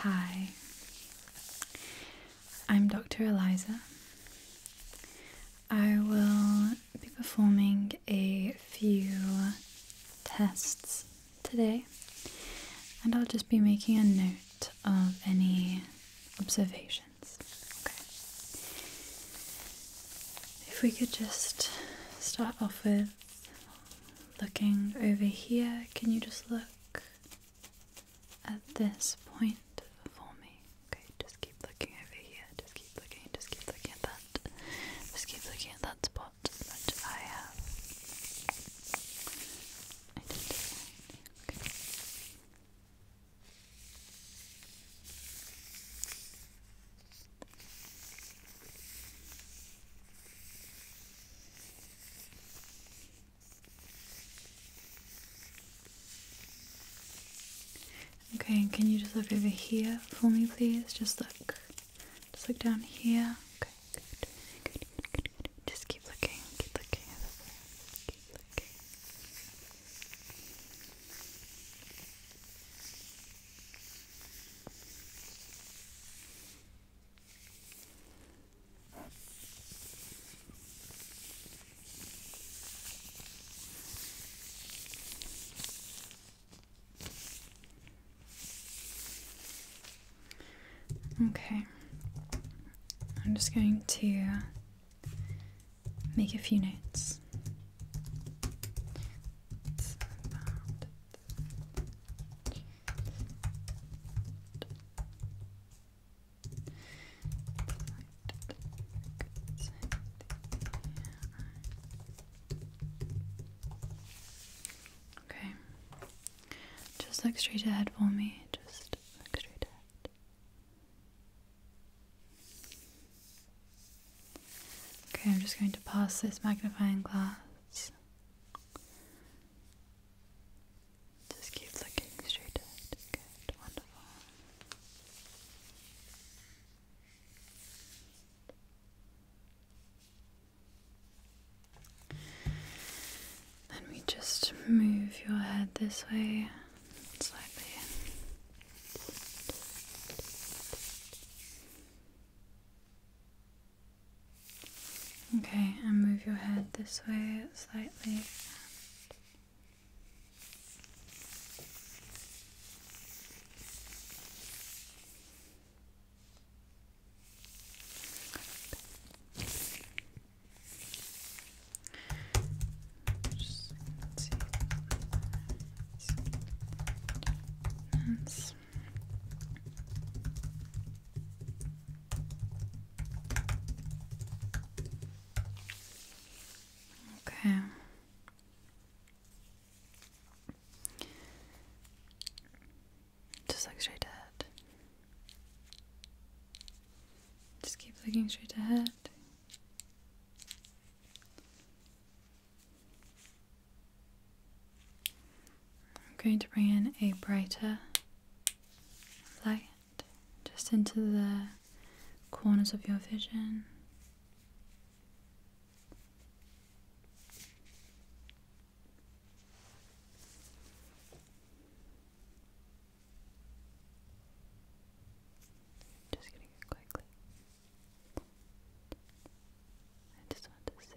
Hi, I'm Dr. Eliza. I will be performing a few tests today, and I'll just be making a note of any observations. Okay. If we could just start off with looking over here, can you just look at this point for me? Okay, just keep looking over here, just keep looking, just keep looking at that, just keep looking at that spot that I have identified. Okay. Okay, can you just look over here for me, please? Just look. Just look down here. Okay, good. Good, good, good, Just keep looking, keep looking Keep looking. Okay, I'm just going to make a few notes. Okay. Just look straight ahead for me. Just straight ahead. Okay, I'm just going to pass this magnifying glass just keep looking straight ahead. Good, wonderful. Then we just move your head this way slightly. Okay, and move your head this way slightly. Okay. Just look straight ahead. Just keep looking straight ahead. I'm going to bring in a brighter light just into the corners of your vision. Just getting it quickly. I just want to see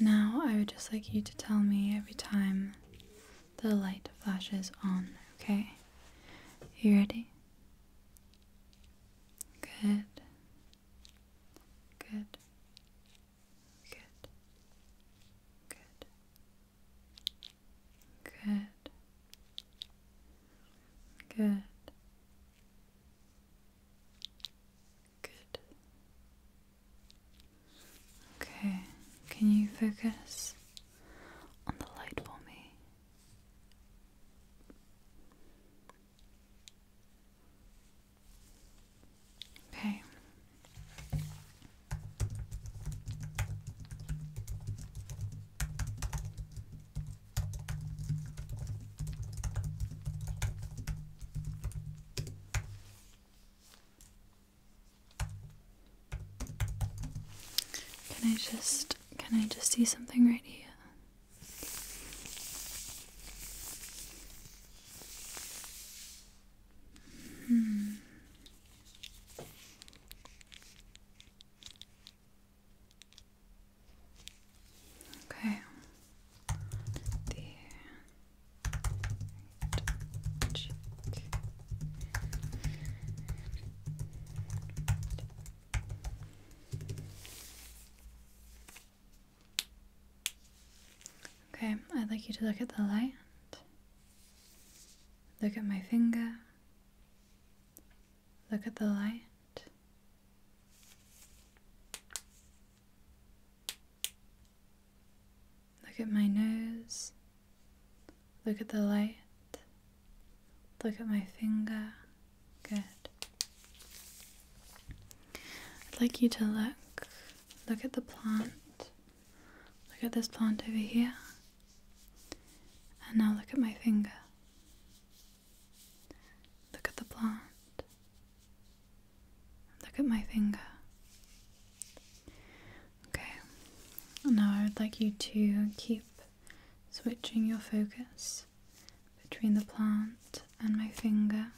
Now, I would just like you to tell me every time the light flashes on, okay? You ready? Good. Good. Good. Good. Good. Good. Good. Okay, can you focus on the light for me? Okay. Can I just can I just see something right here? Hmm. Okay. The Okay, I'd like you to look at the light. Look at my finger. Look at the light. Look at my nose. Look at the light. Look at my finger. Good. I'd like you to look. Look at the plant. Look at this plant over here. And now look at my finger. Look at the plant. Look at my finger. Okay, now I would like you to keep switching your focus between the plant and my finger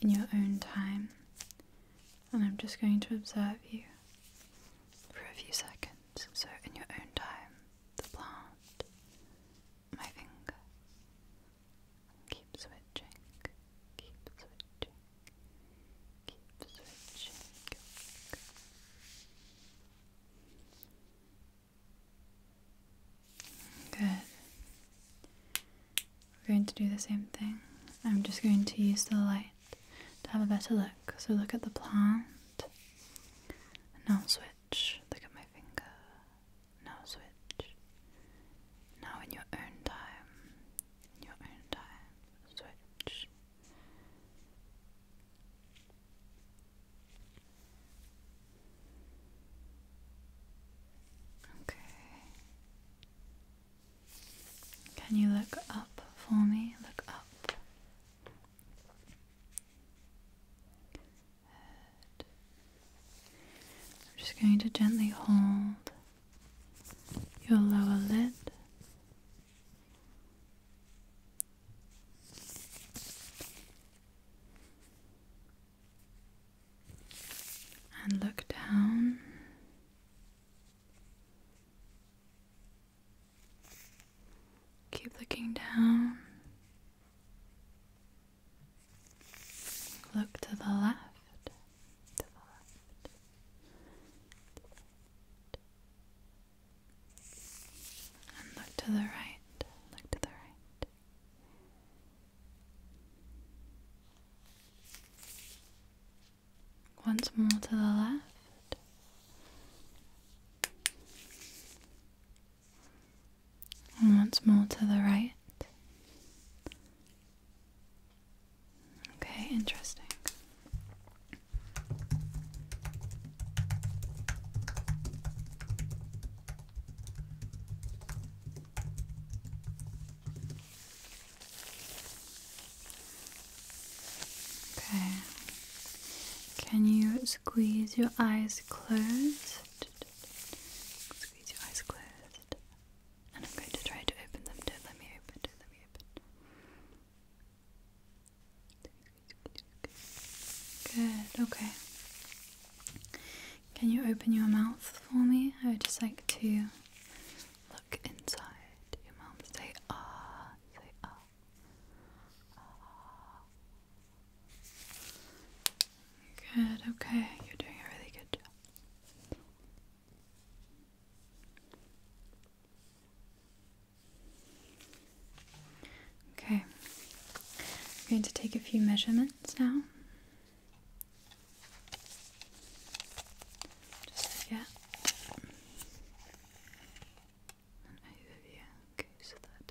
in your own time. And I'm just going to observe you for a few seconds. So, in your own time, the plant, my finger, Keep switching. Keep switching. Keep switching. Good. We're going to do the same thing. I'm just going to use the light to have a better look. So look at the plant. Now switch. Look at my finger. Now switch. Now in your own time your own time switch. Okay. Can you look up for me? Look up. I'm just going to gently hold your lower lid. And look down keep looking down look to the left and look to the right. Look to the right. Once more to the left. And once more to the right. Okay, interesting. Okay. Can you squeeze your eyes closed? Squeeze your eyes closed. And I'm going to try to open them. do let me open, do let me open. Good, okay. Can you open your mouth for me? I would just like to look inside your mouth. Say ah, say ah. ah. Good, okay. You're doing a really good job. Okay, I'm going to take a few measurements now. Just Okay, so that.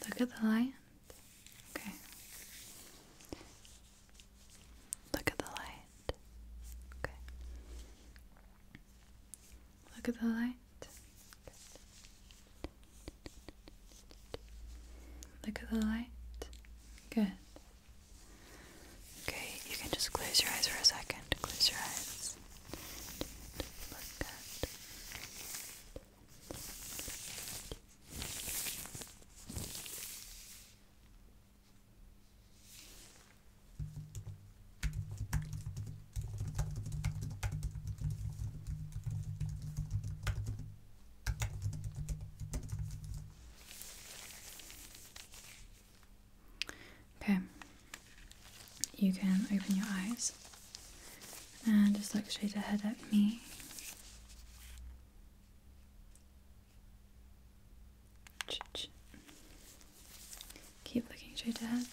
Look at the lion. Okay. Look at the light. Okay. Look at the light. Look at the light. Good. Okay, you can just close your eyes for a second. Close your eyes. Look at. Okay, you can open your eyes and just look straight ahead at me. Keep looking straight ahead.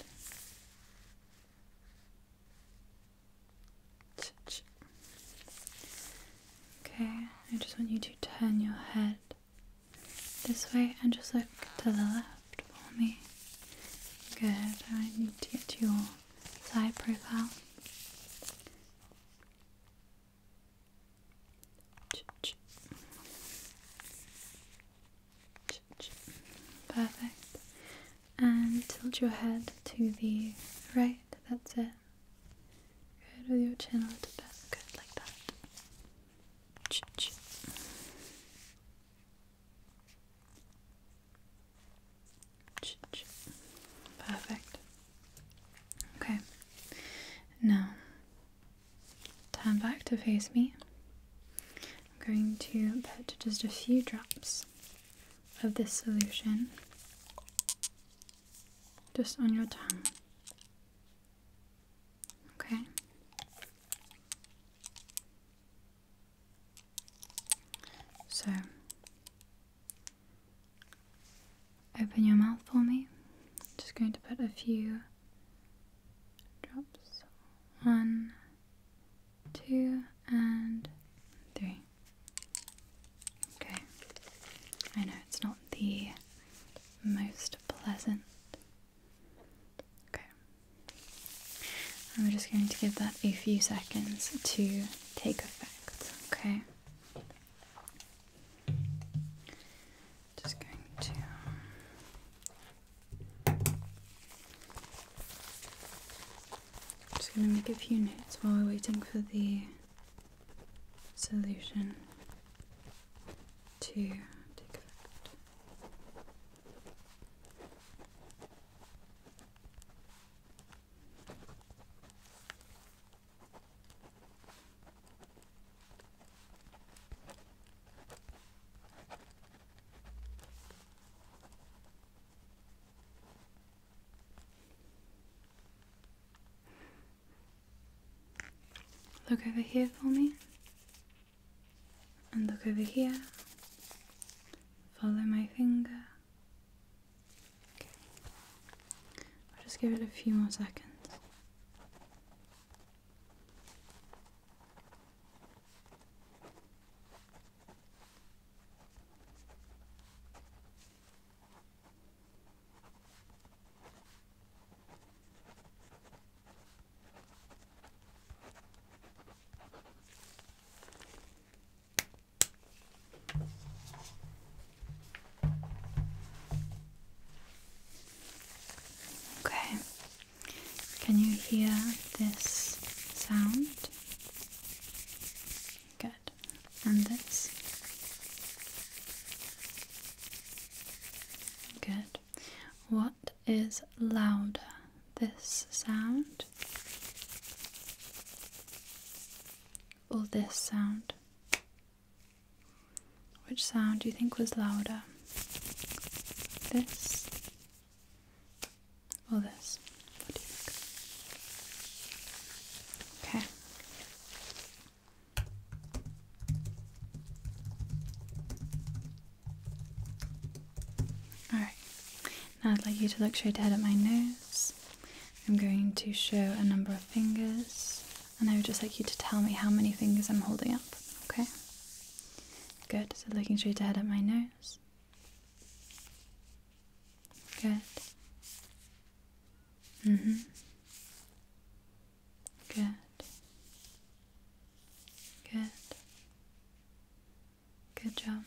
Okay, I just want you to turn your head this way and just look to the left for me. Good, I need to get to your side profile. Perfect. And tilt your head to the right, that's it. Good with your chin a little bit, good like that. Perfect. Okay. Now, turn back to face me. I'm going to put just a few drops of this solution just on your tongue. Okay. So, open your mouth for me. just going to put a few drops. One, two, and three. Okay. I know it's not the most pleasant. Okay. I'm just going to give that a few seconds to take effect. Okay. Just going to. Just going to make a few notes while we're waiting for the solution to take effect. Look over here for me. And look over here. Follow my finger. I'll just give it a few more seconds. Okay, can you hear this sound? Good, and this? Good. What is louder, this sound or this sound? Which sound do you think was louder? This or this? What do you think? Okay. Alright, now I'd like you to look straight ahead at my nose. I'm going to show a number of fingers, and I would just like you to tell me how many fingers I'm holding up, okay? Good, so looking straight ahead at my nose. Good. Mm hmm. Good. Good. Good job.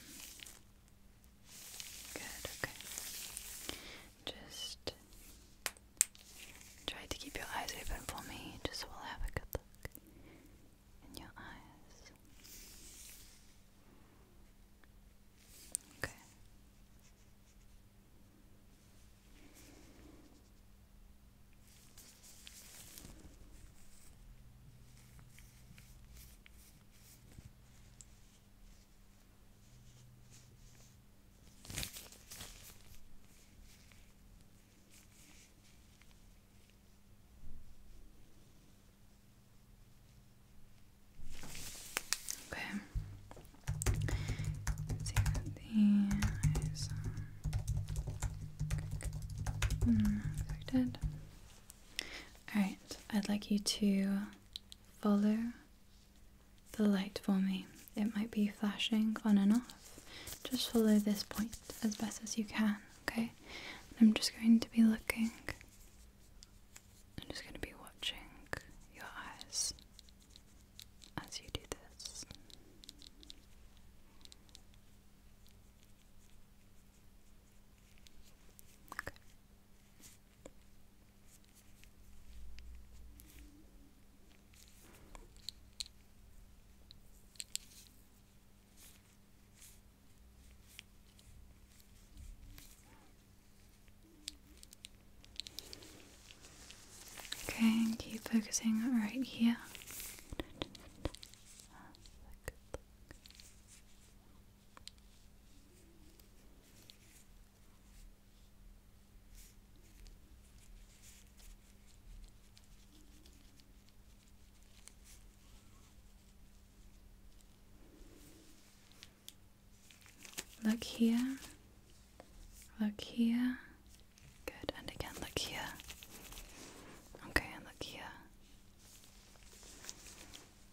Good, okay. Just try to keep your eyes open for me, just so we'll have a good look in your eyes. Okay. Okay. Let's the eyes. Mm, dead. All right. I'd like you to follow the light for me. It might be flashing on and off. Just follow this point as best as you can, okay? I'm just going to be looking. I'm just going to be watching your eyes as you do this. Okay. keep focusing right here. Look here, look here, good, and again, look here, okay, and look here.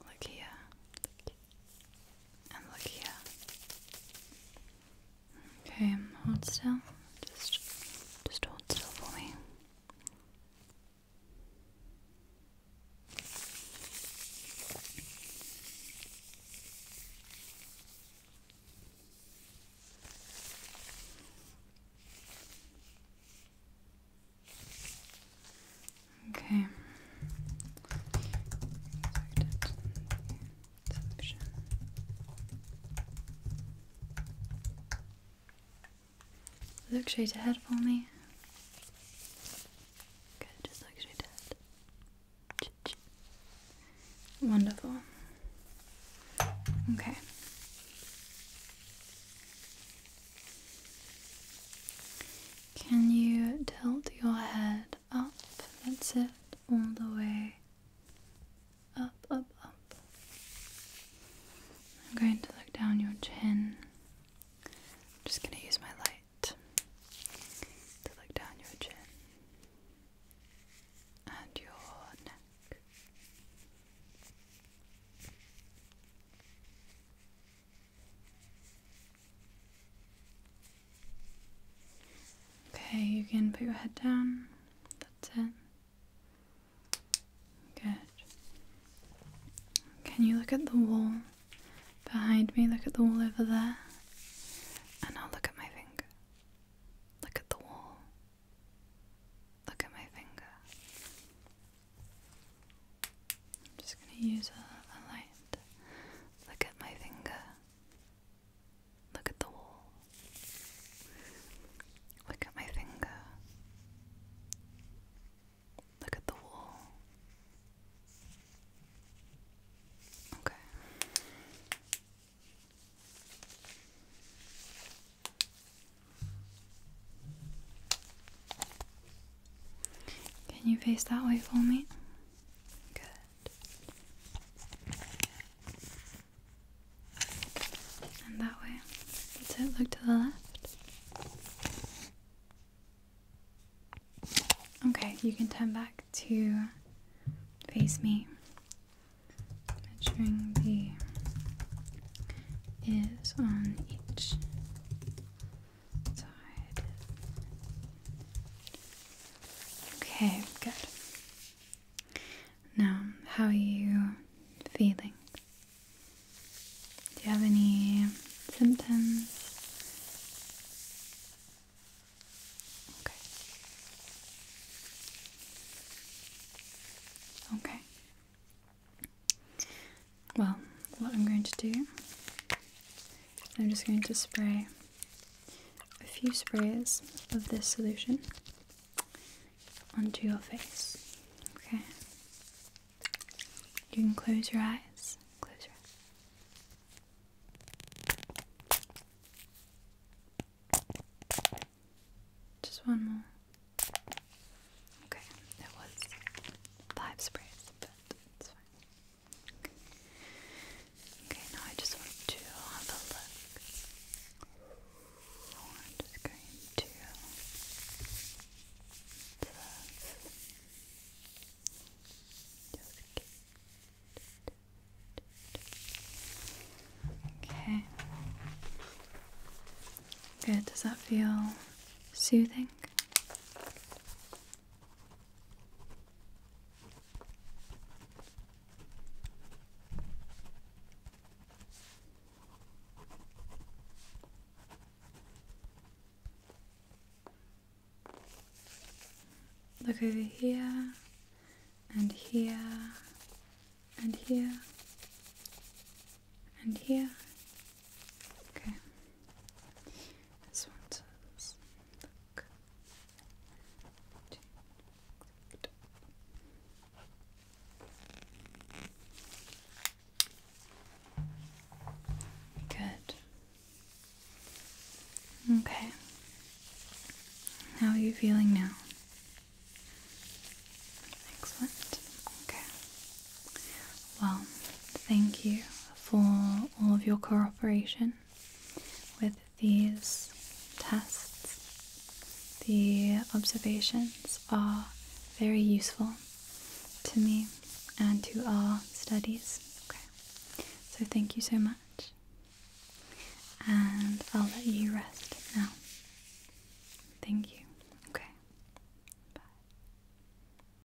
Look here. And look here. Okay, hold still. Just just hold still for me. Okay. Look straight ahead for me. Good, just look straight ahead. Wonderful. Okay. Can you tilt your head up? That's it, all the way up, up, up. I'm going to look down your chin. I'm just going to use my light to look down your chin and your neck. Okay, you can put your head down. That's it. Good. Can you look at the wall behind me? Look at the wall over there. And i look at my finger. Look at the wall. Look at my finger. I'm just going to use a, light. Look at my finger. Look at the wall. Look at my finger. Look at the wall. Okay. Can you face that way for me? Good. And that way. That's it. Look to the left. Okay, you can turn back to face me. Measuring the ears on each Okay, good. Now, how are you feeling? Do you have any symptoms? Okay. Okay. Well, what I'm going to do, I'm just going to spray a few sprays of this solution onto your face. Okay? You can close your eyes. Close your eyes. Just one more. Okay, that was five sprays, but it's fine. Okay, now I just want to have a look. I'm just going to just Okay. Good. Does that feel soothing? Look over here and here and here and here Okay. This one says look. Good. Okay. How are you feeling now? Excellent. Okay. Well, thank you for all of your cooperation with these tests. The observations are very useful to me and to our studies. Okay. So thank you so much. And I'll let you rest now. Thank you. Okay. Bye.